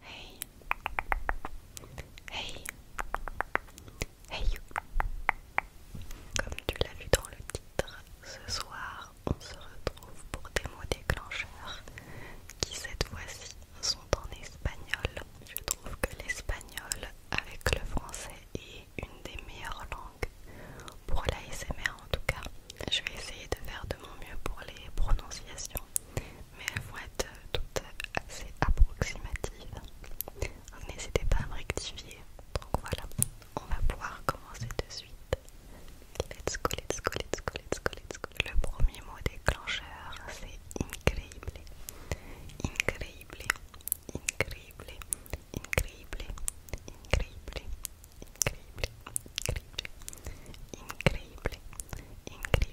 Hey. Hey. Hey Comme tu l'as vu dans le titre, ce soir, on se retrouve pour des mots déclencheurs qui cette fois-ci sont en espagnol. Je trouve que l'espagnol avec le français est une des meilleures langues pour l'ASMR en tout cas. Je vais essayer de faire de mon mieux pour les prononciations, mais elles vont être euh, toutes assez approximatives. N'hésitez pas à me rectifier. Donc voilà, on va pouvoir commencer de suite. Let's go, let's go, let's go, let's go, let's go. Le premier mot déclencheur, c'est incroyable. Incroyable. Incroyable. Incroyable. Incroyable. Incroyable. Incroyable. Incroyable. Incroyable.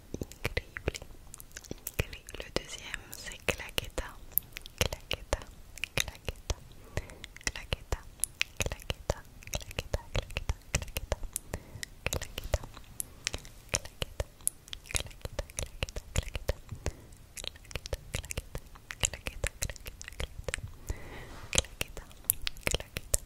Incroyable. Le deuxième, c'est claqueta, claqueta, claqueta, claqueta, claqueta, claqueta, claqueta, claqueta, claqueta, claqueta, claqueta, claqueta, claqueta, claqueta, claqueta, claqueta, claqueta, claqueta, claqueta,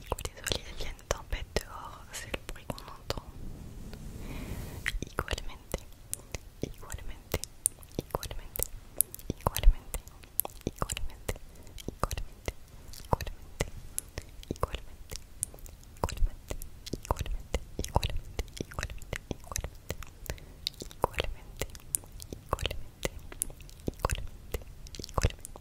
Et désolé, il y a tempête dehors, c'est le bruit qu'on entend. Également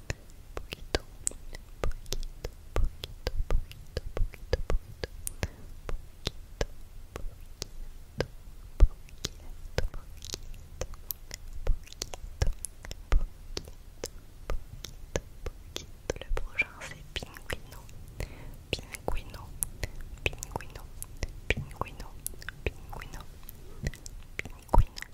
poquito, poquito, poquito, poquito, poquito, poquito, poquito, poquito, poquito, poquito, poquito, poquito, poquito. Le prochain c'est Pinguino, Pinguino, Pinguino, Pinguino, Pinguino, Pinguino.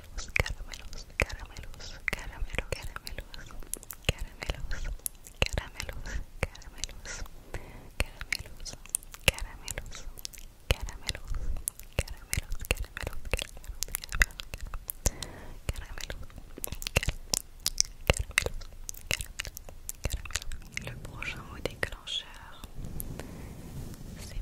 caramelos, Le prochain déclencheur, c'est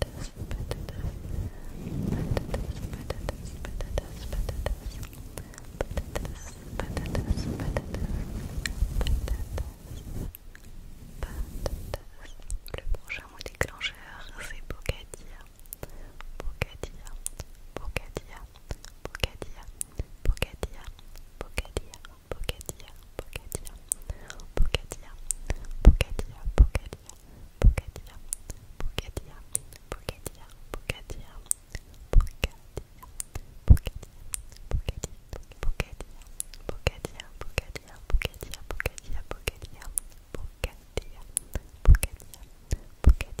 patatas, Le prochain mot déclencheur, c'est Bocadia, Bocadia, Bocadia, Bocadia, Bocadia, Bocadia, Bocadia, Bocadia, Bocadia, Bocadia, Bocadia, Bougadia Bocadia, Bocadia, Bocadia, Bocadia, Bocadia, Bocadia, Bocadia, Bocadia, Bocadia, Bocadia, Bocadia, Bocadia, Bocadia, Bocadia, Bocadia,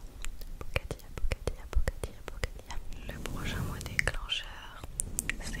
Bocadia, le prochain mot déclencheur, c'est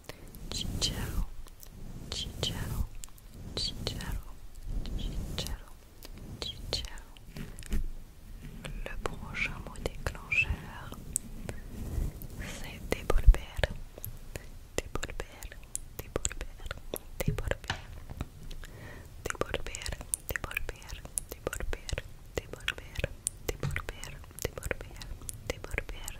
ciao Le prochain mot déclencheur, c'est Déborber, Déborber, Déborber, Déborber, Déborber, Déborber, Déborber, Déborber,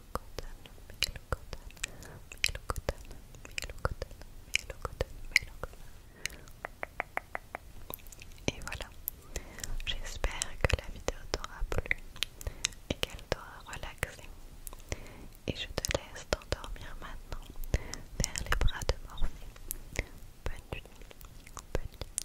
Et voilà, j'espère que la vidéo t'aura plu et qu'elle t'aura relaxé. Et je te laisse t'endormir maintenant vers les bras de Morphée. bonne nuit. Bonne nuit.